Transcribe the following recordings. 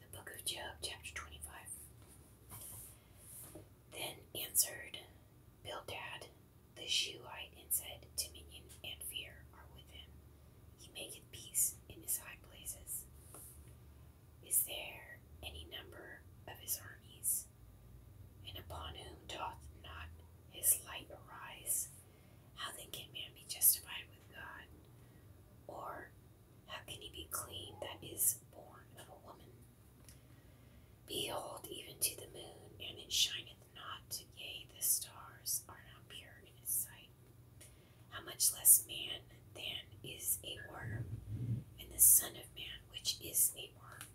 The book of Job, chapter 25. Then answered Bildad the Shuhite and said, Dominion and fear are with him. He maketh peace in his high places. Is there any number of his armies? And upon whom doth not his light arise? How then can man be justified with God? Or how can he be clean that is born of a woman? Behold, even to the moon, and it shineth not, yea, the stars are not pure in his sight. How much less man than is a worm, and the Son of Man, which is a worm?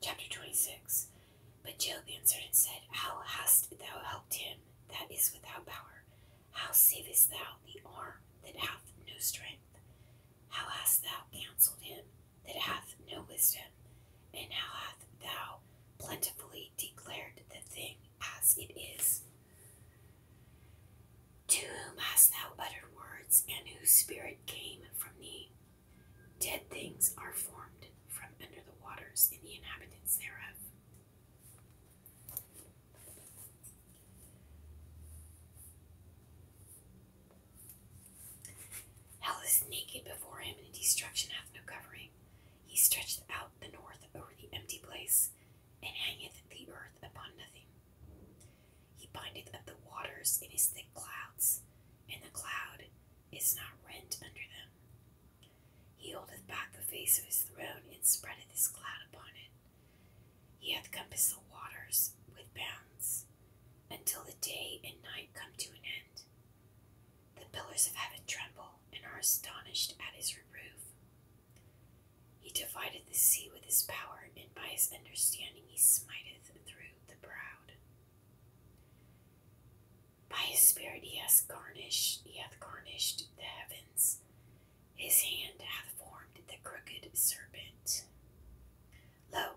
Chapter 26 But Job answered and said, How hast thou helped him that is without power? How savest thou the arm that hath no strength? How hast thou counselled him that hath no wisdom? And how hast thou plentifully declared the thing as it is? To whom hast thou uttered words, and whose spirit came from thee? Dead things are formed from under the waters in the inhabitants thereof. Hell is naked before him, and destruction hath no covering. He stretcheth out the north over the empty place, and hangeth the earth upon nothing. He bindeth up the waters in his thick clouds, and the cloud is not rent under them. He holdeth back the face of his throne and spreadeth his cloud upon it. He hath compassed the waters with bounds, until the day and night come to an end. The pillars of heaven tremble and are astonished at his reproof. He divideth the sea with his power, and by his understanding he smiteth through the proud. By his spirit he hath garnished he hath garnished the heavens, his hand hath formed the crooked serpent. Lo,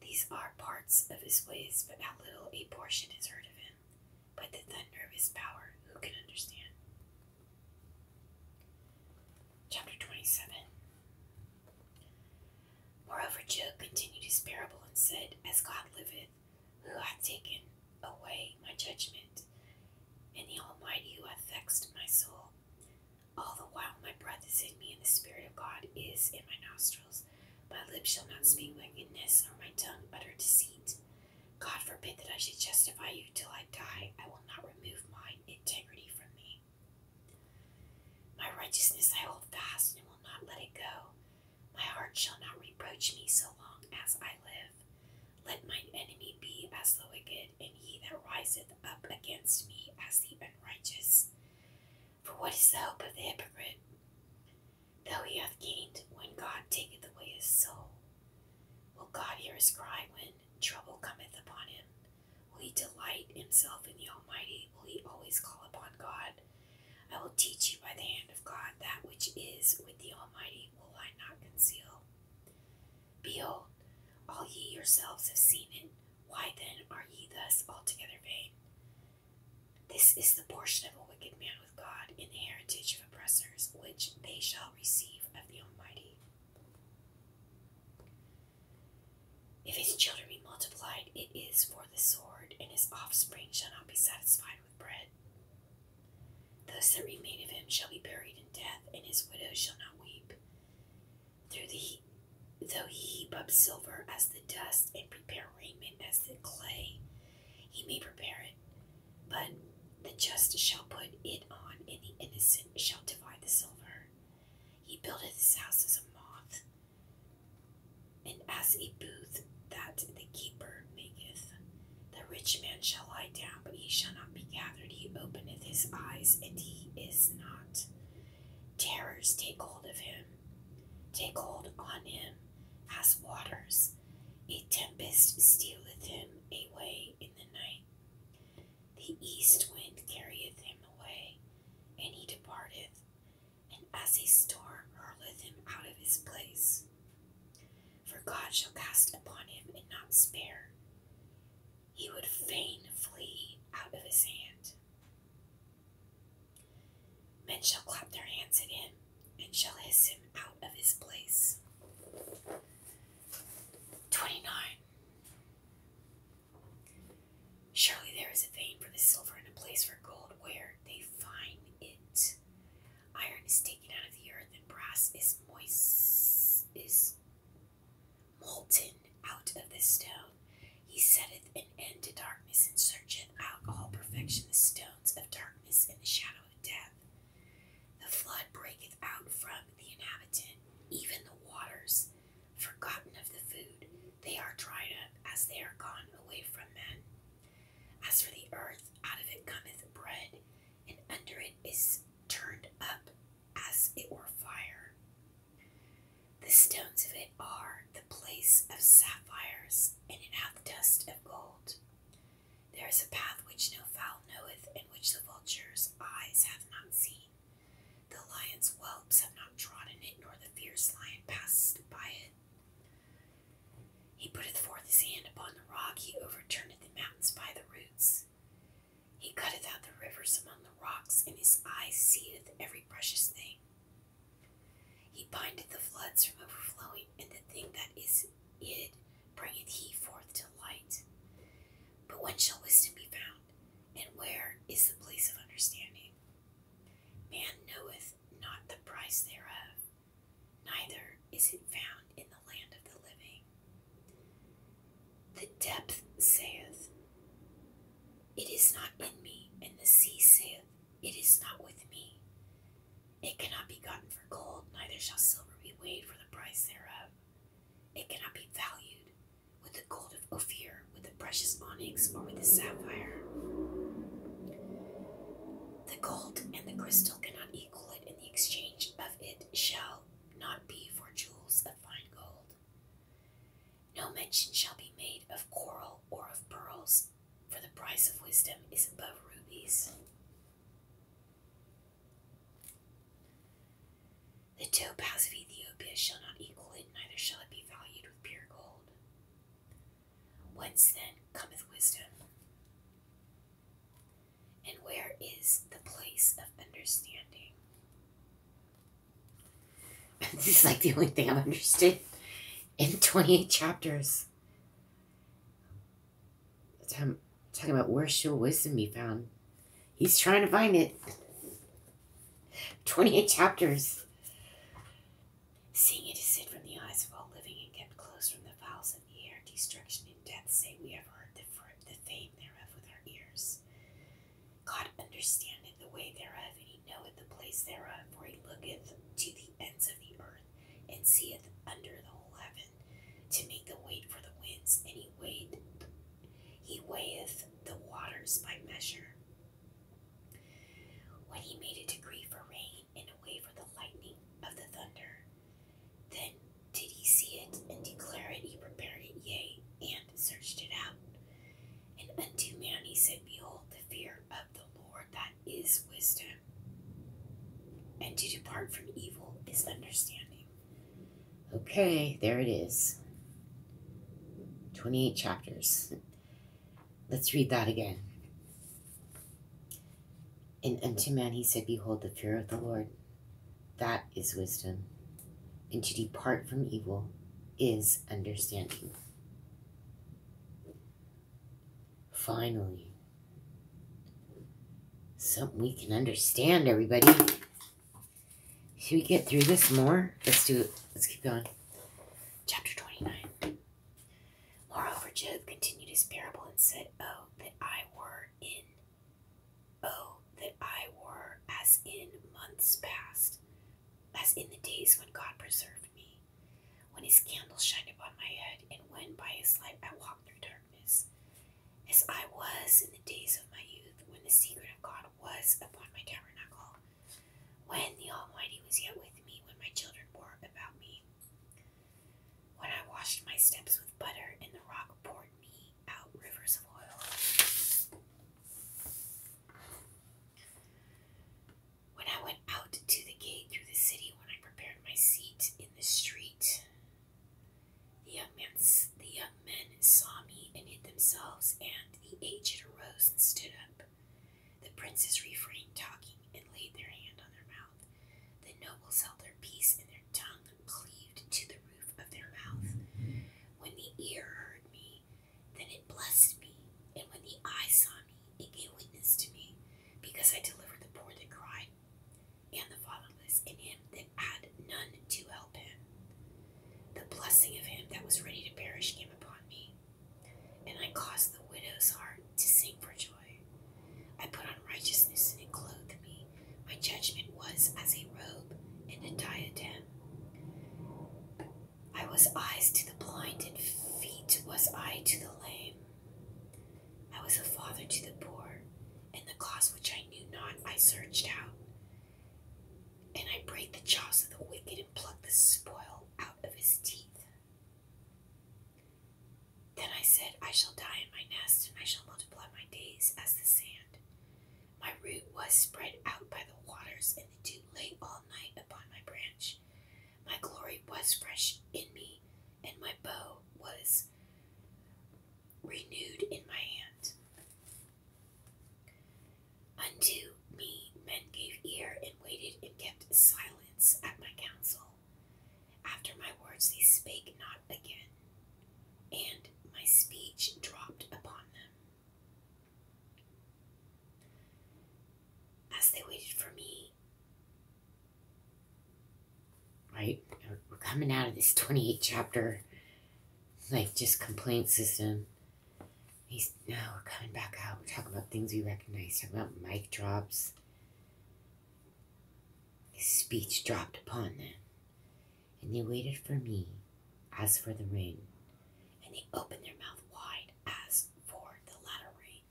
these are parts of his ways, but how little a portion is heard of him, but the thunder of his power, who can understand? Chapter 27 Moreover, Job continued his parable and said, As God liveth, who hath taken away my judgment, and the Almighty who hath vexed my soul. All the while my breath is in me, and the Spirit of God is in my nostrils. My lips shall not speak wickedness, nor my tongue utter deceit. God forbid that I should testify you till I die. I will not remove my integrity from me. My righteousness I hold fast and will not let it go. My heart shall not reproach me so long as I live. Let mine enemy be as the wicked, and he that riseth up against me as the unrighteous. For what is the hope of the hypocrite? Though he hath gained, when God taketh away his soul. Will God hear his cry when trouble cometh upon him? Will he delight himself in the Almighty? Will he always call upon God? I will teach you by the hand of God that which is with the Almighty will I not conceal. Behold, all ye yourselves have seen it. Why then are ye thus altogether vain? This is the portion of a wicked man with God in the heritage of oppressors, which they shall receive of the Almighty. If his children be multiplied, it is for the sword, and his offspring shall not be satisfied with bread. Those that remain of him shall be buried in death, and his widow shall not weep. Through the though he heap up silver as the dust and prepare raiment as the clay, he may prepare it, but the just shall put it on, and the innocent shall divide the silver. He buildeth his house as a moth, and as a booth that the keeper maketh. The rich man shall lie down, but he shall not be gathered. He openeth his eyes, and he is not. Terrors take hold of him, take hold on him as waters. A tempest stealeth him away in the night the east wind carrieth him away, and he departeth, and as a storm hurleth him out of his place. For God shall cast upon him and not spare. He would fain flee out of his hand. Men shall clap their hands at him, and shall hiss him out of his place. 29. Surely there is a vein for the silver and a place for gold where they find it. Iron is taken out of the earth, and brass is moist is molten out of the stone. He setteth an end to darkness and searcheth out all perfection the stones of darkness and the shadow of death. The flood breaketh out from the inhabitant, even the waters forgotten of the food, they are dried up as they are gone away from men. As for the earth, out of it cometh bread, and under it is turned up as it were fire. The stones of it are the place of sapphires, and it hath dust of gold. There is a path which no fowl knoweth, and which the vulture's eyes hath not seen. The lion's whelps have not trodden it, nor the fierce lion passed by it. He putteth forth his hand upon the rock, he overturneth the mountains by the roots. He cutteth out the rivers among the rocks, and his eye seeth every precious thing. He bindeth the floods from overflowing, and the thing that is hid bringeth he forth to light. But when shall wisdom be found? And where is the place of understanding? Man knoweth not the price thereof, neither is it found in the land of the living. The depth saith, It is not in me, and the sea saith, It is not with me. It cannot be gotten for gold, neither shall silver be weighed for the price thereof. It cannot be valued with the gold of Ophir, with the precious onyx, or with the sapphire. The gold and the crystal cannot equal it, in the exchange of it shall not be for jewels of fine gold. No mention shall be made of coral or of pearls, for the price of wisdom is above rubies. The topaz of Ethiopia shall not equal it, neither shall it be valued with pure gold. Whence then cometh wisdom? And where is the place of understanding? this is like the only thing I've understood in 28 chapters. Talking, talking about where shall wisdom be found. He's trying to find it. 28 chapters. Seeing it is hid from the eyes of all living and kept close from the fowls of the air, destruction and death, say we have heard the, fruit, the fame thereof with our ears. God understandeth the way thereof, and he knoweth the place thereof, for he looketh to the ends of the earth, and seeth under the whole heaven to make the weight for the winds, and he weighed he weigheth the waters by measure. When he made a degree for rain and a way for the lightning of the thunder, then did he see it and declare it, he prepared it, yea, and searched it out. And unto man he said, Behold, the fear of the Lord that is wisdom, and to depart from evil is understanding. Okay, there it is. 28 chapters. Let's read that again. And unto man he said, Behold, the fear of the Lord, that is wisdom. And to depart from evil is understanding. Finally, Something we can understand, everybody. Should we get through this more? Let's do it. Let's keep going. Chapter 29. Moreover, Job continued his parable and said, Oh, that I were in. Oh, that I were as in months past, as in the days when God preserved me, when his candle shined upon my head, and when by his light I walked through darkness, as I was in the days of my youth, when the secret of God was upon my tabernacle, when the Almighty was yet with me, when my children were about me, when I washed my steps with butter, and the rock poured me out rivers of oil. When I went out to the gate through the city, when I prepared my seat in the street, the young, man, the young men saw me and hid themselves, and the aged arose and stood up. The princes refrained talking and laid their hand on their mouth. The nobles held their peace, and their tongue cleaved to the roof of their mouth. When the ear heard me, then it blessed me, and when the eye saw me, it gave witness to me, because I delivered the poor that cried and the fatherless in him that had none to help him. The blessing of him that was ready to perish came upon me, and I caused the widow's heart to sing for joy. I put on righteousness and it clothed me. My judgment was as a robe and a diadem. I was eyes to the blind, and feet was I to the lame. I was a father to the poor, and the cause which I knew not I searched out. And I brake the jaws of the wicked and plucked the spoil out of his teeth. Then I said, I shall die in my nest, and I shall multiply my days as the sand. My root was spread out by the waters, and the dew lay all night upon my branch. My glory was fresh in me, and my bow was renewed in my hand. Unto me men gave ear and waited and kept silence at my counsel. After my words they spake not again, and my speech dropped upon them. As they waited for me, Right? We're coming out of this 28 chapter, like just complaint system. He's, now we're coming back out. We're talking about things we recognize, talking about mic drops. His speech dropped upon them, and they waited for me as for the ring, and they opened their mouth wide as for the latter rain.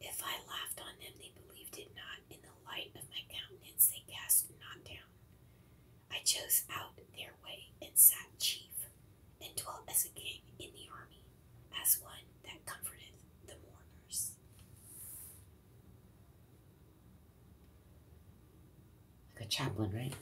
If I laughed on them, they believed it not. In the light of my countenance, they cast not down. I chose out their way and sat chief, and dwelt as a king in the army, as one that comforteth the mourners. Like a chaplain, right?